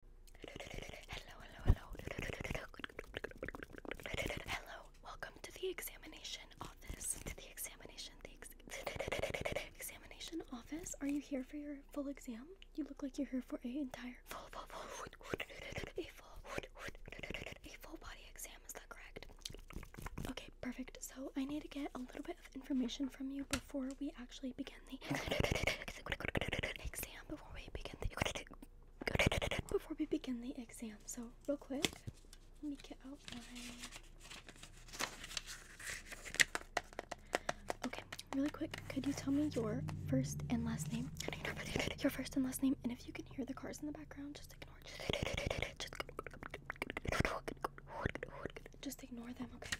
Hello, hello, hello. Hello. Welcome to the examination office. To the examination, the examination office. Are you here for your full exam? You look like you're here for a entire full, full, full, a full, a full body exam. Is that correct? Okay, perfect. So I need to get a little bit of information from you before we actually begin. before we begin the before we begin the exam. So real quick, let me get out my Okay, really quick, could you tell me your first and last name? Your first and last name, and if you can hear the cars in the background, just ignore just, just ignore them, okay?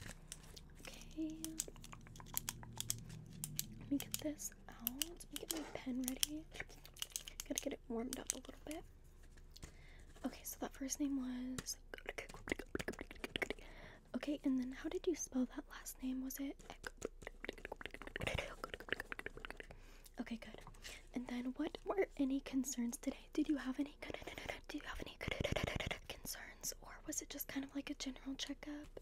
Okay. Let me get this out. Let me get my pen ready. Gotta get it warmed up a little bit. Okay, so that first name was. Okay, and then how did you spell that last name? Was it. Okay, good. And then what were any concerns today? Did you have any. Do you have any concerns? Or was it just kind of like a general checkup?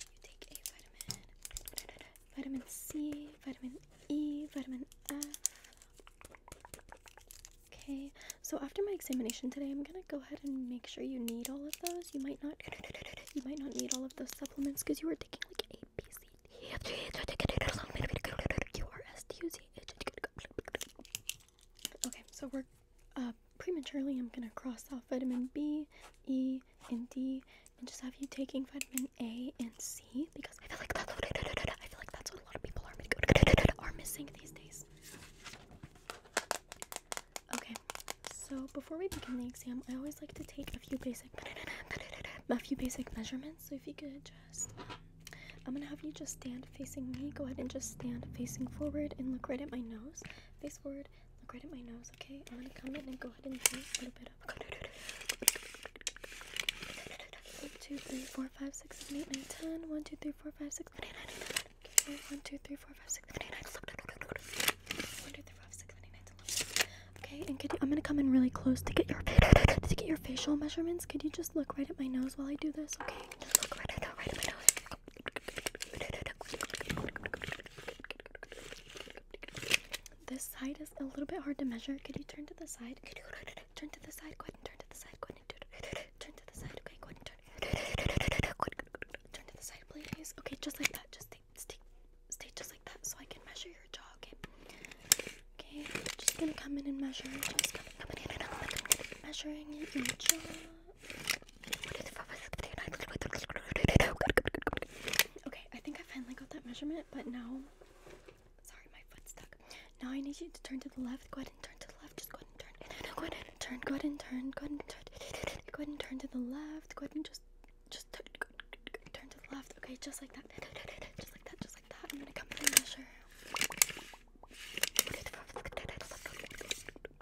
you take a vitamin, vitamin C, vitamin E, vitamin F. Okay, so after my examination today, I'm gonna go ahead and make sure you need all of those. You might not, you might not need all of those supplements because you were taking like A, B, C, D, F, G, H, Q, R, S, T, U, Z, H. Okay, so we're uh, prematurely, I'm gonna cross off vitamin B, E, and D, and just have you taking vitamin A and C because I feel like that, I feel like that's what a lot of people are missing these days. Okay, so before we begin the exam, I always like to take a few basic a few basic measurements. So if you could just. I'm gonna have you just stand facing me. Go ahead and just stand facing forward and look right at my nose. Face forward forward. Look right at my nose, okay? I'm gonna come in and go ahead and do a little bit of. 1, 2, 3, 4, 5, 6, 7, 8, 9, 10. 1, 2, 3, 4, 5, 6, 7, 8, 9, 10. Okay, 1, 2, 3, 4, 5, 6, 7, 8, 9, 10. 1, 2, 3, 4, 5, 6, 7, 8, 9, 10. Okay, and could you, I'm gonna come in really close to get your to get your facial measurements. Could you just look right at my nose while I do this, okay? Just look right, right, right at my nose. This side is a little bit hard to measure. Could you turn to the side? turn to the side? Go ahead turn to the side. Go ahead turn. to the side. Okay, go ahead turn. Turn to the side, please. Okay, just like that. Just stay, stay, stay just like that so I can measure your jaw, okay? just gonna come in and measure. Just coming, coming in and out. Measuring your jaw. Okay, I think I finally got that measurement, but now, sorry, my foot's stuck. Now I need you to turn to the left. Go ahead and turn to the left. Just go ahead and turn. No, go ahead and turn. Go ahead and turn. Go ahead and turn. Go ahead and turn to the left. Go ahead and just, just turn. Turn to the left. Okay, just like that. Just like that. Just like that. I'm gonna come and measure. 1, 2, 3, 4, 5,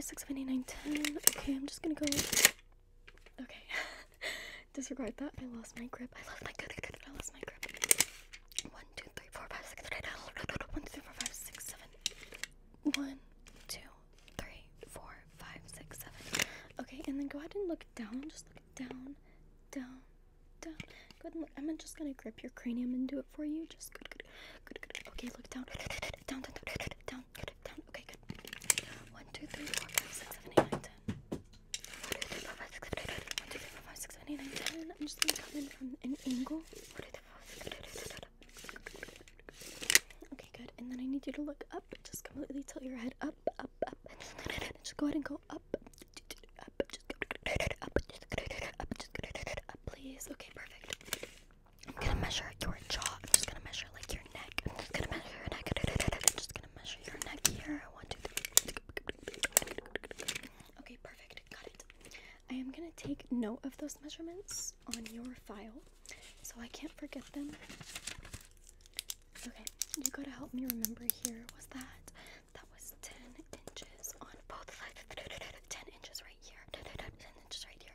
6, 7, 8, 9, 10. Okay, I'm just gonna go. Okay. Disregard that. I lost my grip. I lost my grip. I lost my grip. 1, 2, 3, 4, 5, 6, 7, 8, 1, 2, 3, 4, 5, 6, 7. 1, 2, 3, 4, 5, 6, 7. Okay, and then go ahead and look down. Just look down, down, down. Go ahead and look. I'm just gonna grip your cranium and do it for you. Just good, good, good, good. Okay, look down, down, down, down, down, down. Okay, good. One, two, three, four, five, six, seven, eight, nine, ten. One, two, three, four, five, six, seven, eight, nine. One, two, three, four, five, six, seven, eight, nine, ten. I'm just gonna come in from an angle. Okay, good. And then I need you to look up. Just completely tilt your head up, up, up. Just go ahead and go up. Up, just up, just up, just up, please. Okay, perfect. I'm gonna measure your jaw. I'm just gonna measure like your neck. I'm just gonna measure your neck. I'm just gonna measure your neck here. One, two, three. Okay, perfect. Got it. I am gonna take note of those measurements on your file so I can't forget them. Okay, you gotta help me remember here. Was that? That was 10 inches on both sides. 10 inches right here then just right here.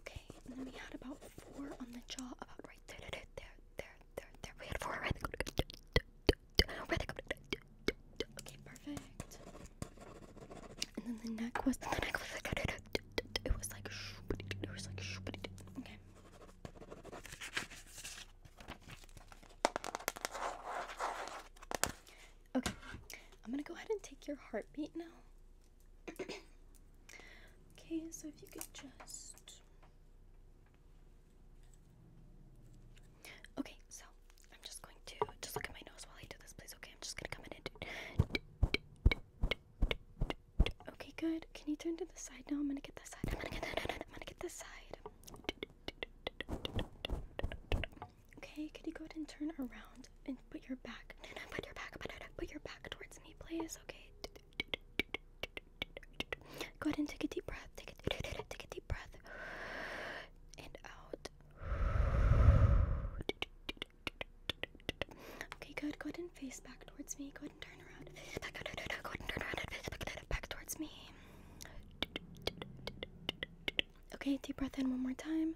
Okay, and then we had about four on the jaw, about right there, there, there, there, there. there. We had four right there. Okay, perfect. And then the neck was, the neck was like, it was like, it was like, okay. Okay, I'm gonna go ahead and take your heartbeat now. okay, so if you could just. Okay, so I'm just going to just look at my nose while I do this, please. Okay, I'm just gonna come in and. Okay, good. Can you turn to the side now? I'm gonna get this side. I'm gonna get this side. Okay, could you go ahead and turn around and put your back, no, no, put your back, put, put your back towards me, please. Okay. Go ahead and take a deep breath. Take a, take a deep breath. And out. Okay, good. Go ahead and face back towards me. Go ahead and turn around. Go ahead and turn around face back towards me. Okay, deep breath in one more time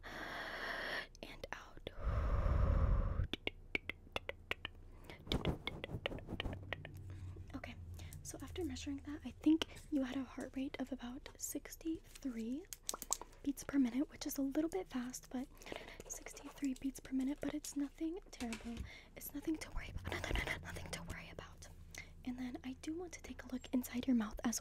and out. Okay, so after measuring that, I think you had a heart rate of about 63 beats per minute, which is a little bit fast, but 63 beats per minute, but it's nothing terrible. It's nothing to worry about. Nothing to worry about. And then I do want to take a look inside your mouth as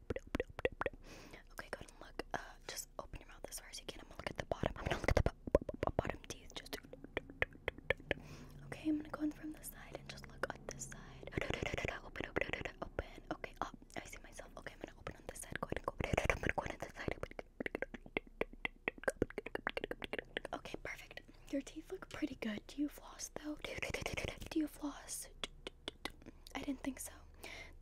Okay, go ahead and look. Uh, just open your mouth as far as you can. I'm gonna look at the bottom. I'm gonna look at the bottom teeth. Just okay. I'm gonna go in from the side and just look on this side. Open, open, open, open. Okay. Oh, I see myself. Okay, I'm gonna open on this side. Go ahead and go. I'm gonna go on this side. Okay, perfect. Your teeth look pretty good. Do you floss though? Do you floss? I didn't think so.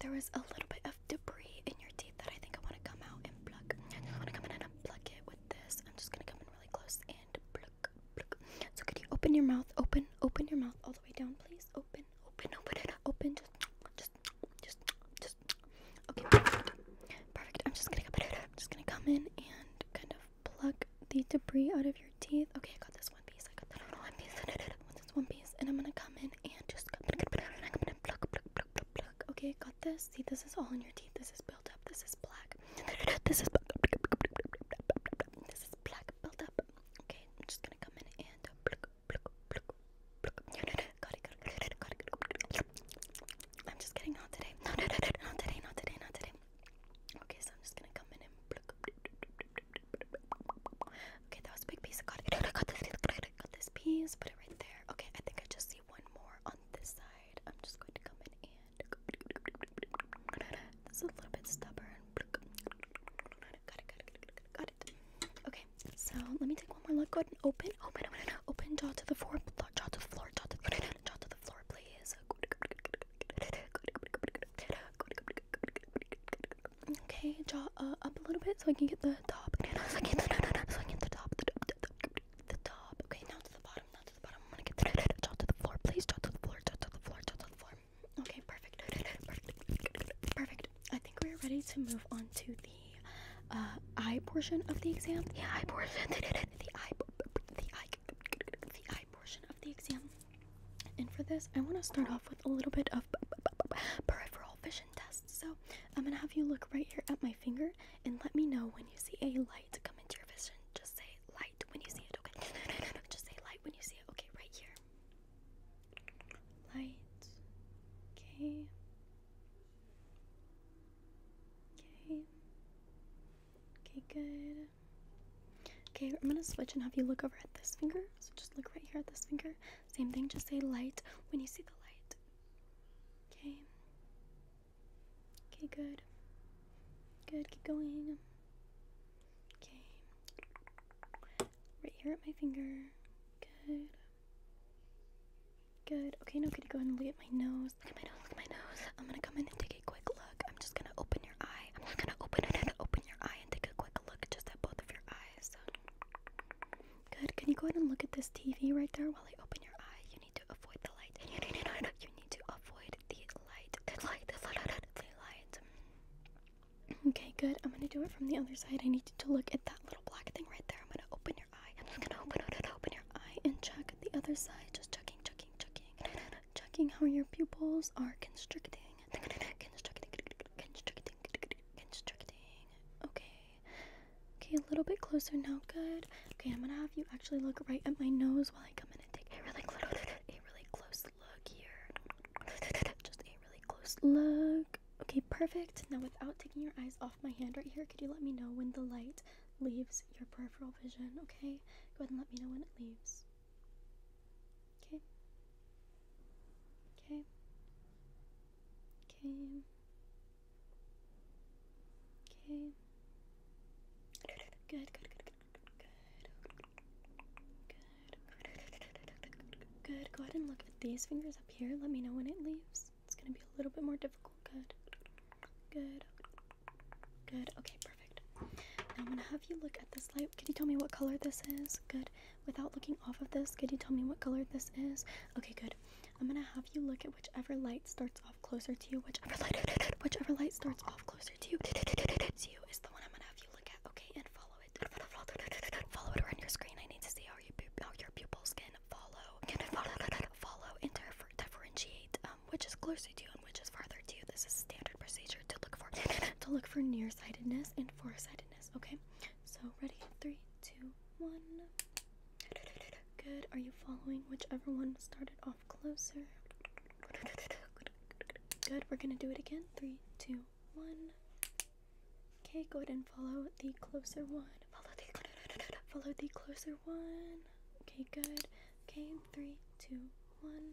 There was a little bit of debris in your teeth that I think I want to come out and pluck. I want to come in and unplug it with this. I'm just going to come in really close and pluck, pluck. So could you open your mouth? Open, open your mouth all the way down, please. Open, open, open it Open, just, just, just, just. Okay, perfect. Perfect. I'm just going to come in. I'm just going to come in and kind of pluck the debris out of your teeth. Okay, I got this one piece. I got that one piece. This one piece. And I'm going to come in in and just pluck, pluck, pluck, pluck, Okay, got this. See, this is all in your teeth. This is built up. This is black. This is black built up. Okay, I'm just gonna come in and pluck, pluck, pluck, pluck. I'm just kidding. Not today. Not today. Not today. Not today. Okay, so I'm just gonna come in and pluck, pluck, Okay, that was a big piece. I got it. I got this. I got this piece. Put it right there. Okay, I think I just see one more on this side. I'm just going to come in and. This is a little bit stubborn. Got it. Got it. Got it. Okay, so let me take one more look. Go ahead and Open. Open. Open. Jaw to the floor. Jaw to the floor. Jaw to the floor. Jaw to the floor, please. Okay, jaw uh, up a little bit so I can get the top. So I can get the, so I can get the top. The, the, top. Okay, now to the bottom. Now to the bottom. I'm gonna get jaw to the floor. Please jaw to the floor. Jaw to the floor. Jaw to the floor. Okay, perfect. Perfect. Perfect. I think we're ready to move on to the uh, eye portion of the exam. The eye portion. The eye. The eye. The eye portion of the exam. And for this, I want to start off with a little bit of peripheral vision so I'm gonna have you look right here at my finger and let me know when you see a light come into your vision. Just say light when you see it, okay? just say light when you see it, okay? Right here. Light. Okay. Okay. Okay, good. Okay, I'm gonna switch and have you look over at this finger. So just look right here at this finger same thing, just say light when you see the light. Okay. Okay, good. Good, keep going. Okay. Right here at my finger. Good. Good. Okay, now could you go ahead and look at my nose? Look at my nose, look at my nose. I'm gonna come in and take a quick look. I'm just gonna open your eye. I'm just gonna open it and open your eye and take a quick look just at both of your eyes. Good. Can you go ahead and look at this TV right there while I open your eye? You need to avoid the light. You need, to avoid the light. The light. The light. Okay, good. I'm gonna do it from the other side. I need you to look at that little black thing right there. I'm gonna open your eye. I'm gonna open Open your eye and check the other side. Just checking, checking, checking, checking how your pupils are constricting. Constricting. Constricting constricting. Okay. Okay, a little bit closer now. Good. Okay, I'm gonna have you actually look right at my nose while I come in and take a really close, a really close look here. Just a really close look. Okay, perfect. Now, without taking your eyes off my hand right here, could you let me know when the light leaves your peripheral vision? Okay, go ahead and let me know when it leaves. Okay. Okay. Okay. Okay. Good, good, good, good, good. Good. Good. Go ahead and look at these fingers up here. Let me know when it leaves. It's going to be a little bit more difficult. Good. Good. Good. Okay, perfect. Now I'm going to have you look at this light. Can you tell me what color this is? Good. Without looking off of this, could you tell me what color this is? Okay, good. I'm gonna have you look at whichever light starts off closer to you. Whichever light, whichever light starts off closer to you, to you is the one I'm gonna have you look at. Okay, and follow it. Follow it around your screen. I need to see how your how your pupils can follow, can follow, follow and differentiate um, which is closer to you and which is farther to you. This is standard procedure to look for to look for nearsightedness and farsightedness. Okay, so ready? Three, two, one. Good. Are you following whichever one started off closer? Good. We're gonna do it again. Three, two, one. Okay, go ahead and follow the closer one. Follow the follow the closer one. Okay, good. Okay, three, two, one.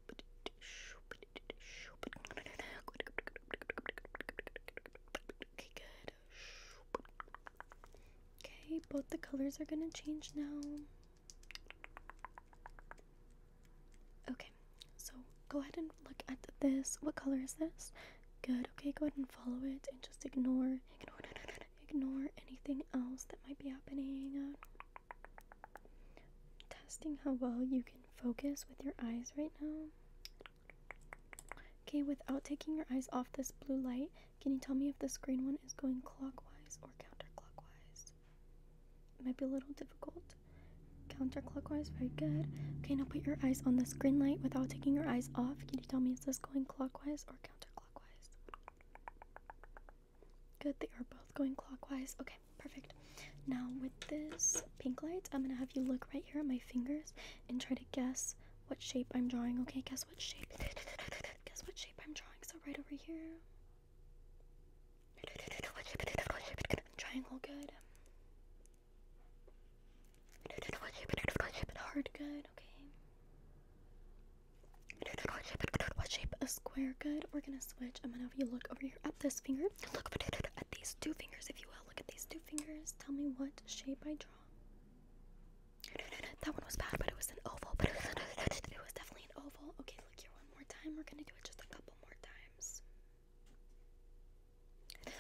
Okay, both the colors are gonna change now. Okay, so go ahead and look at this. What color is this? Good. Okay, go ahead and follow it and just ignore, ignore, ignore anything else that might be happening. Testing how well you can focus with your eyes right now. Okay, without taking your eyes off this blue light, can you tell me if this green one is going clockwise or counterclockwise? It might be a little difficult. Counterclockwise, very good. Okay, now put your eyes on this green light without taking your eyes off. Can you tell me is this going clockwise or counterclockwise? Good, they are both going clockwise. Okay perfect. Now with this pink light, I'm gonna have you look right here at my fingers and try to guess what shape I'm drawing. Okay, guess what shape? guess what shape I'm drawing. So right over here. Triangle good. Hard good, okay. What shape? A square good. We're gonna switch. I'm gonna have you look over here at this finger. Look at these two fingers, if you will. Look at these two fingers. Tell me what shape I draw. That one was bad, but it was an oval. But it was definitely an oval. Okay, look here one more time. We're gonna do it just a couple more times.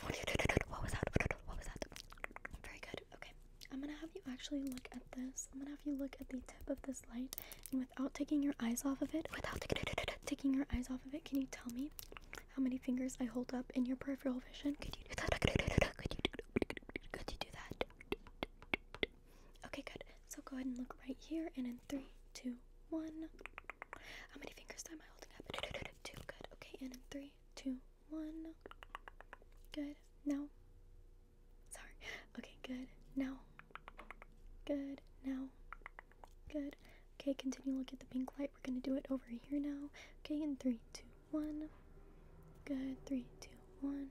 What was that? What was that? Very good. Okay, I'm gonna have you actually look at this. I'm gonna have you look at the tip of this light without taking your eyes off of it, without taking your eyes off of it, can you tell me how many fingers I hold up in your peripheral vision? Could you do that? Could you do, that? Okay, good. So go ahead and look right here, and in three, two, one. How many fingers am I holding up? Two, good. Okay, and in three, two, one. Good. Now. Sorry. Okay, good. Now. Good. Now. Good. Okay, continue. Look at the pink light. We're gonna do it over here now. Okay, in three, two, one. Good. Three, two, one.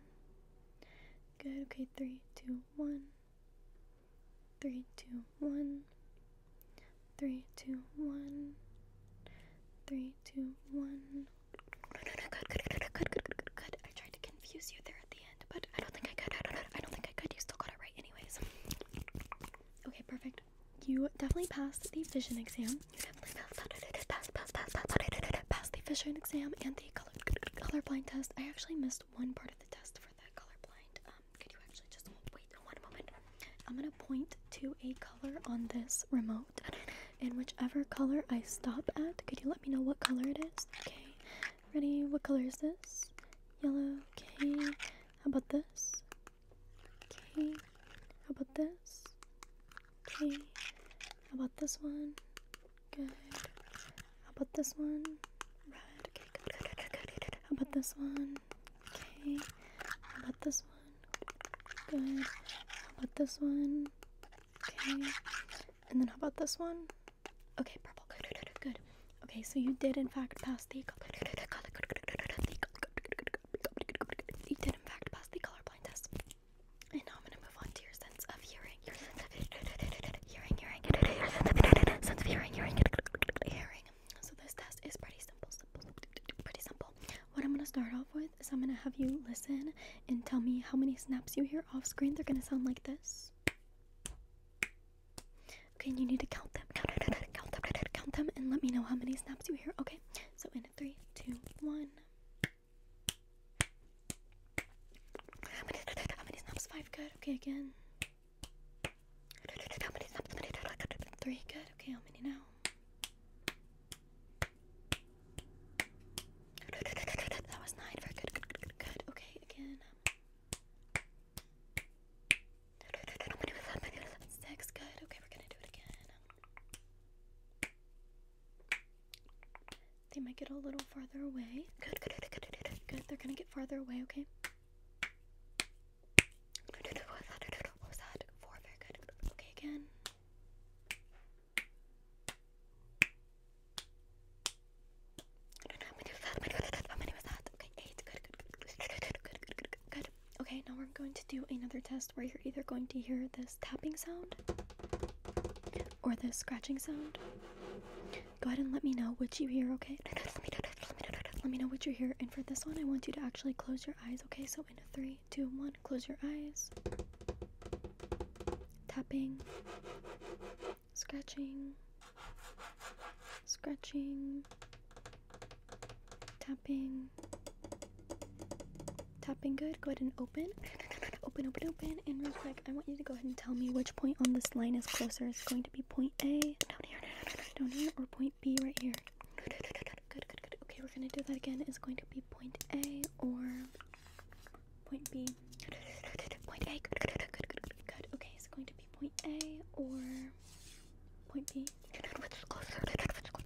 Good. Okay, three, two, one. Three, two, one. Three, two, one. Three, two, one. good, good, good, good, good, good, good, I tried to confuse you there at the but I don't think I could. I don't, I don't think I could. You still got it right, anyways. Okay, perfect. You definitely passed the vision exam. You definitely passed, passed, passed, passed, passed, passed the vision exam and the color colorblind test. I actually missed one part of the test for the colorblind. Um, could you actually just wait one moment? I'm gonna point to a color on this remote, and whichever color I stop at, could you let me know what color it is? Okay. Ready? What color is this? Yellow. Okay. How about this? Okay. How about this? Okay. How about this one? Good. How about this one? Red. Okay, good, good, good, good, good. How about this one? Okay. How about this one? Good. How about this one? Okay. And then how about this one? Okay, purple. Good, good, Okay, so you did in fact pass the you did in fact pass the colorblind test. And now I'm gonna move on to your sense of hearing. Your sense of hearing, hearing, hearing, sense of hearing, hearing. So this test is pretty simple, simple, pretty simple. What I'm gonna start off with is I'm gonna have you listen and tell me how many snaps you hear off screen. They're gonna sound like this. Okay, you need to count them. Count, them, count, them, count, them, and let me know how many snaps you hear. Okay, so in three, two, one. How many, snaps? Five. Good. Okay, again. How many snaps? Three. Good. Okay, how many now? That was nine. Very Good. good. Okay, again. Six, good. Okay, we're gonna do it again. They might get a little farther away. Good, good, good, good, good. good. They're gonna get farther away, okay? What was that? Four, very good. Okay, again how many was that, how many was that, Okay, eight, good, good, good, good, good, good, good, good, Okay, now we're going to do another test where you're either going to hear this tapping sound or this scratching sound. Go ahead and let me know what you hear, okay? Let me know, what you hear. And for this one, I want you to actually close your eyes, okay? So in a three, two, one, close your eyes. Tapping scratching, scratching, tapping, tapping good. Go ahead and open, open, open, open. And real quick, I want you to go ahead and tell me which point on this line is closer. It's going to be point A down here, down here, or point B right here. Good, good, good. Okay, we're gonna do that again. It's going to be point A or point B. Point A. Good, good, good, good, Okay, it's going to be point A or point B. You which is closer.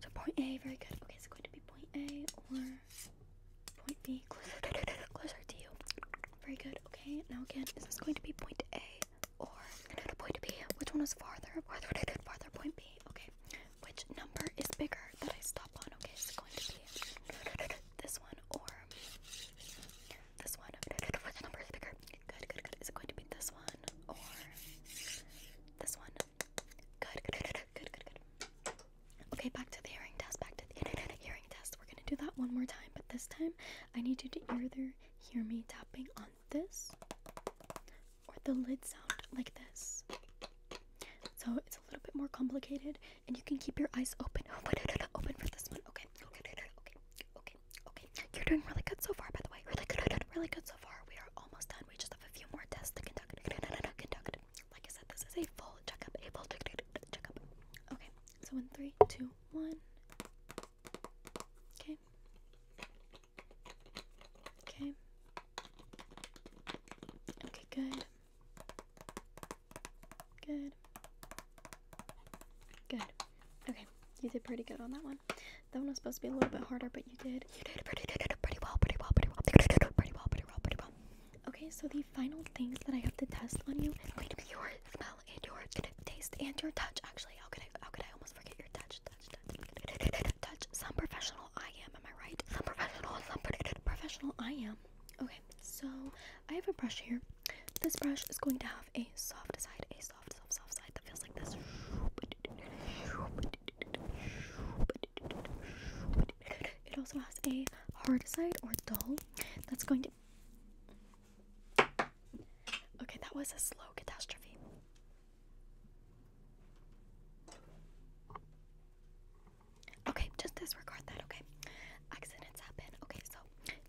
So point A, very good. Okay, it's going to be point A or point B. Closer, closer to you. Very good. Okay, now again, is this going to be point A or point B? Which one is farther? Farther, farther. Point B. Okay. Which number is bigger that I stop on? Okay, is it going to be this one or this one. Which number is bigger? Good, good, good. Is it going to be this one or this one? Good, good, good, good, good, Okay, back to the hearing test. Back to the hearing test. We're gonna do that one more time, but this time I need you to either hear me tapping on this or the lid sound like this. So it's a little bit more complicated, and you can keep your eyes open. Open, open for this one. Okay, okay, okay, okay. Okay, You're doing really good so far, by the way. Really good, really good so far. We are almost done. We just have a few more tests to conduct. Like I said, this is a full checkup. A full checkup. Okay, so one, three, two, one. Okay. Okay. Okay, good. Good. Good. Okay, you did pretty good on that one. That one was supposed to be a little bit harder, but you did. You did pretty, pretty well, pretty well, pretty well, pretty well, pretty well, pretty well, Okay, so the final things that I have to test on you are going to be your smell and your taste and your touch. Actually, how could I, how could I almost forget your touch, touch, touch, touch? Some professional I am, am I right? Some professional, some professional I am. Okay, so I have a brush here. This brush is going to have a soft side, a soft, soft, soft side that feels like this. It also has a hard side or dull that's going to. Okay, that was a slow catastrophe. Okay, just disregard that, okay? Accidents happen. Okay, so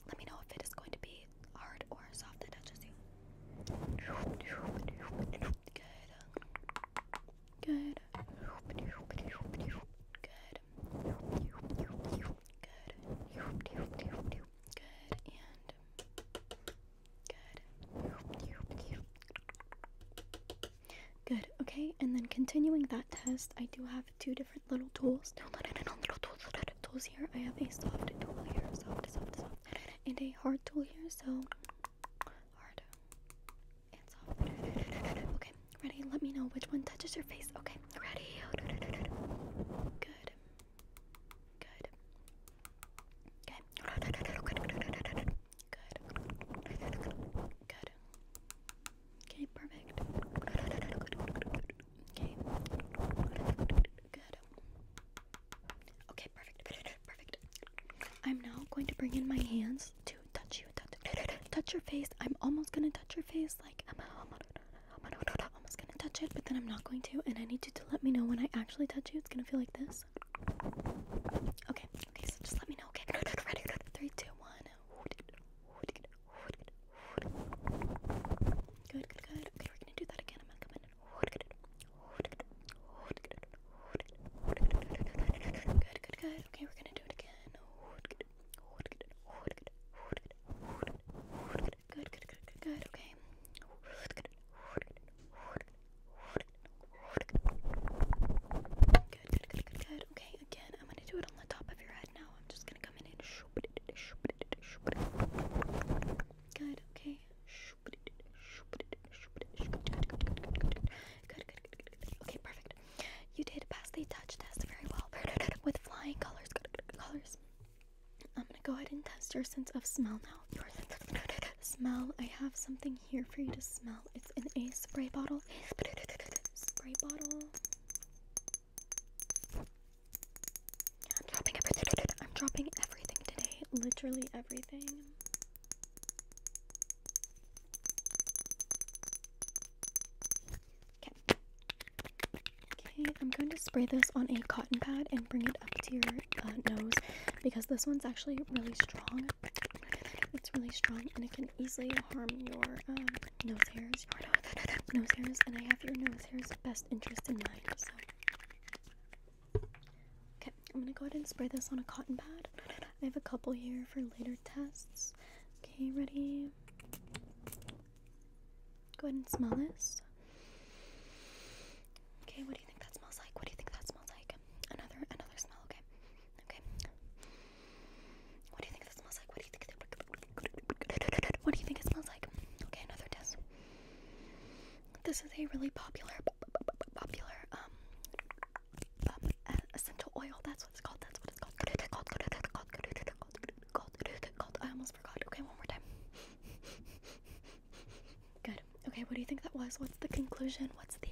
let me know if it is going to be hard or soft that touches you. Good. Good. Good. Good. Good. good. Good. Okay, and then continuing that test, I do have two different little tools. Downloaded and little tools, tools here. I have a soft tool here, soft, soft, soft, and a hard tool here. So hard and soft. Okay, ready? Let me know which one touches your face. Okay, ready? Good. Good. Okay. Good. Good. Good. Okay, perfect. Okay. Good. Okay, perfect. Perfect. I'm now going to bring in my hands to touch you. Touch, your face. I'm almost gonna touch your face. Like I'm almost gonna touch it, but then I'm not going to. And I need you to let me know when I actually touch you. It's gonna feel like this. Okay. Okay. So just let me know. Okay. Ready. Three, two, one. Good, good, good. Okay, we're gonna do that again. I'm gonna come in. Good, good, good. Okay, we're gonna do it again. Good, good, good, good, good. Okay. Good, good, good, good, good. Okay, again, I'm gonna do it on the top of your head. But I'm just gonna come in and Good, okay. good, good. Okay, perfect. You did pass the touch test very well with flying colors. Colors. I'm gonna go ahead and test your sense of smell now. Your sense of smell. I have something here for you to smell. It's in a spray bottle. Spray bottle. I'm dropping everything. I'm dropping everything today. Literally everything. Okay. Okay, I'm going to spray this on a cotton pad and bring it up to your uh, nose because this one's actually really strong. It's really strong and it can easily harm your um, nose hairs, your nose hairs, and I have your nose hairs' best interest in mind. So, okay, I'm gonna go ahead and spray this on a cotton pad. I have a couple here for later tests. Okay, ready? Go ahead and smell this. Okay, what do you think that smells like? What do you think that smells like? Another, another smell. Okay, okay. What do you think this smells like? What do you think? it smells like? Okay, another test. This is a really popular, popular um, essential oil. That's what it's called. That's what it's called. I almost forgot. Okay, one more time. Good. Okay, what do you think that was? What's the conclusion? What's the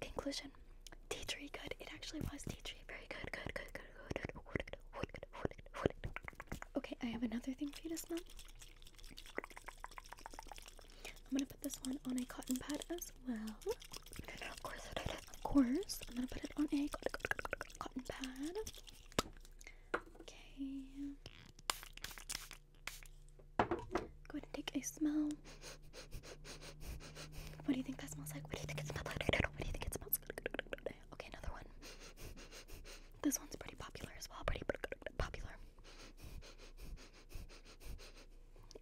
conclusion? T tree. Good. It actually was T tree. Very good. Good. Good. Good. Okay, I have another thing for you to smell. I'm gonna put this one on a cotton pad as well. Of course, of course. I'm gonna put it on a cotton pad. Okay. Go ahead and take a smell. What do you think that smells like? What do you think it smells like? What do you think it smells like? Okay, another one. this one's pretty popular as well. Pretty popular.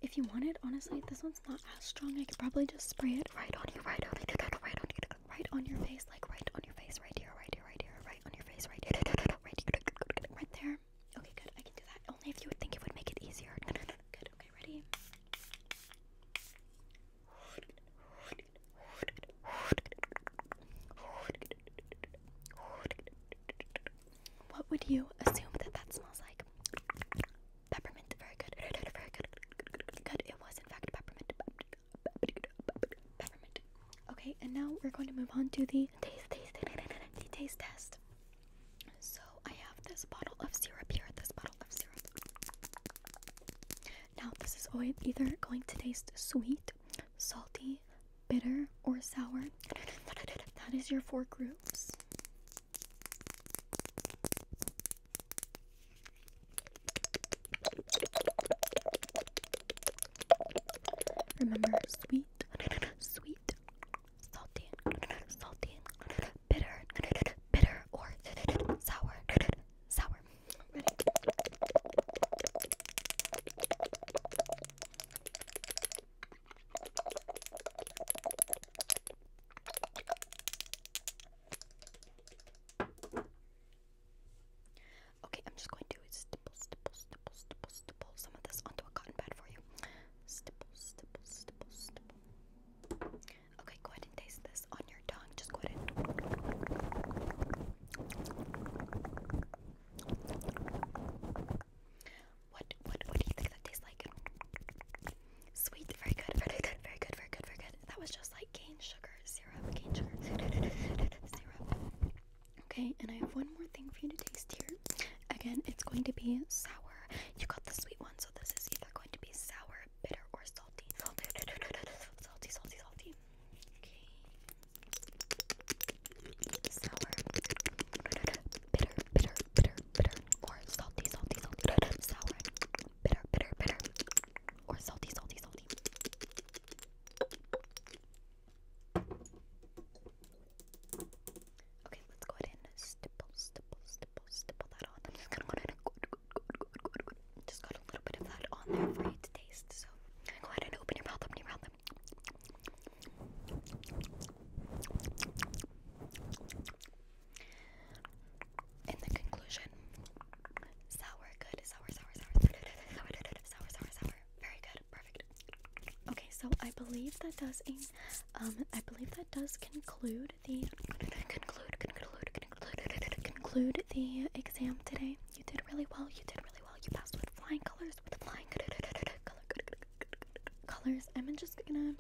If you want it, honestly, this one's not as strong. I could probably just spray it right on you, right on you, right on you, right on your face, like right on your face, right here, right here, right here, right on your face, right here, right here, right there. Okay, good. I can do that. Only if you would think it would make it easier. Good. Okay, ready. What would you assume that that smells like? Peppermint. Very good. Very good. Good. It was, in fact, peppermint. Peppermint. Okay, and now we're going to move on to the taste, taste, taste, taste test. So I have this bottle of syrup here. This bottle of syrup. Now, this is either going to taste sweet, salty, bitter, or sour. That is your four groups. Remember, sweet, sweet, salty, salty, bitter, bitter, or sour, sour. Okay, I'm just going to stipple, stipple, stipple, stipple, stipple some of this onto a cotton pad for you. Okay, go ahead and taste this on your tongue. Just go ahead What, what, what do you think that tastes like? Sweet, very good, very good, very good, very good, very good. That was just like cane sugar syrup, cane sugar syrup. Okay, and I have one more thing for you to taste here. Again, it's going to be sour. You got the sweet one, so this is either going to be sour bitter, or salty. Salty, salty, salty, salty. Okay. Sour, bitter, bitter, bitter, bitter, or salty, salty, salty. Sour, bitter, bitter, bitter, or salty, salty, salty. Okay, let's go ahead and stipple, stipple, stipple, stipple that on. I'm just gonna go ahead and just got a little bit of that on there for you to taste. So go ahead and open your mouth, open your mouth. In the conclusion, sour, good, sour, sour, sour, sour, sour, sour, sour, sour. Very good, perfect. Okay, so I believe that does um, I believe that does conclude conclude the exam today. You did really well. You did really well. You passed with flying colors. With flying color colors. I'm just gonna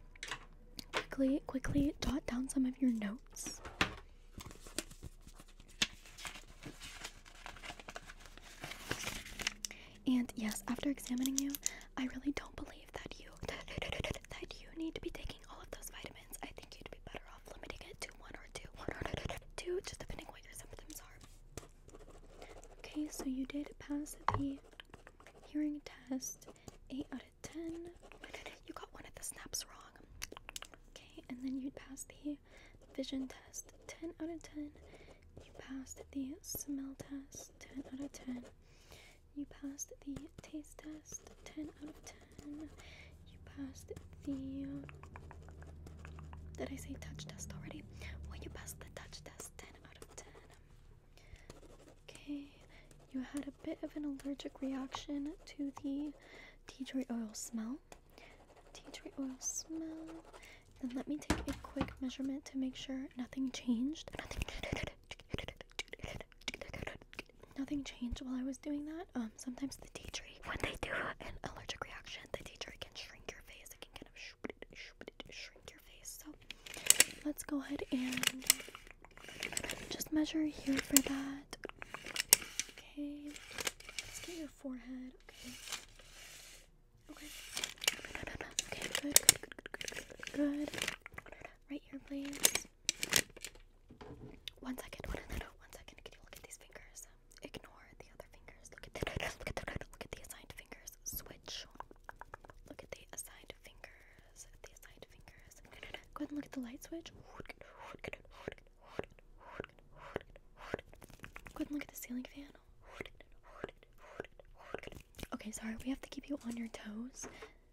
quickly quickly jot down some of your notes. And yes, after examining you, I really don't believe that you that you need to be taking all of those vitamins. I think you'd be better off limiting it to one or two, one or two, just depending what your symptoms are. Okay, so you did pass the hearing test, 8 out of 10. You got one of the snaps wrong. Okay, and then you would pass the vision test, 10 out of 10. You passed the smell test, 10 out of 10. You passed the taste test 10 out of 10. You passed the. Did I say touch test already? When you passed the touch test 10 out of 10. Okay, you had a bit of an allergic reaction to the tea tree oil smell. Tea tree oil smell. Then let me take a quick measurement to make sure nothing changed nothing changed while I was doing that. Um, sometimes the tea tree, when they do an allergic reaction, the tea tree can shrink your face. It can kind of shrink your face. So let's go ahead and just measure here for that. Okay, let's get your forehead. Okay. Okay. Okay. Good. Good. Good. Good. good. Right here, please. One second. One, one second. Can you look at these fingers? Ignore the other fingers. Look at the look at the look at the assigned fingers. Switch. Look at the assigned fingers. The assigned fingers. Go ahead and look at the light switch. Go ahead and look at the ceiling fan. Okay, sorry, we have to keep you on your toes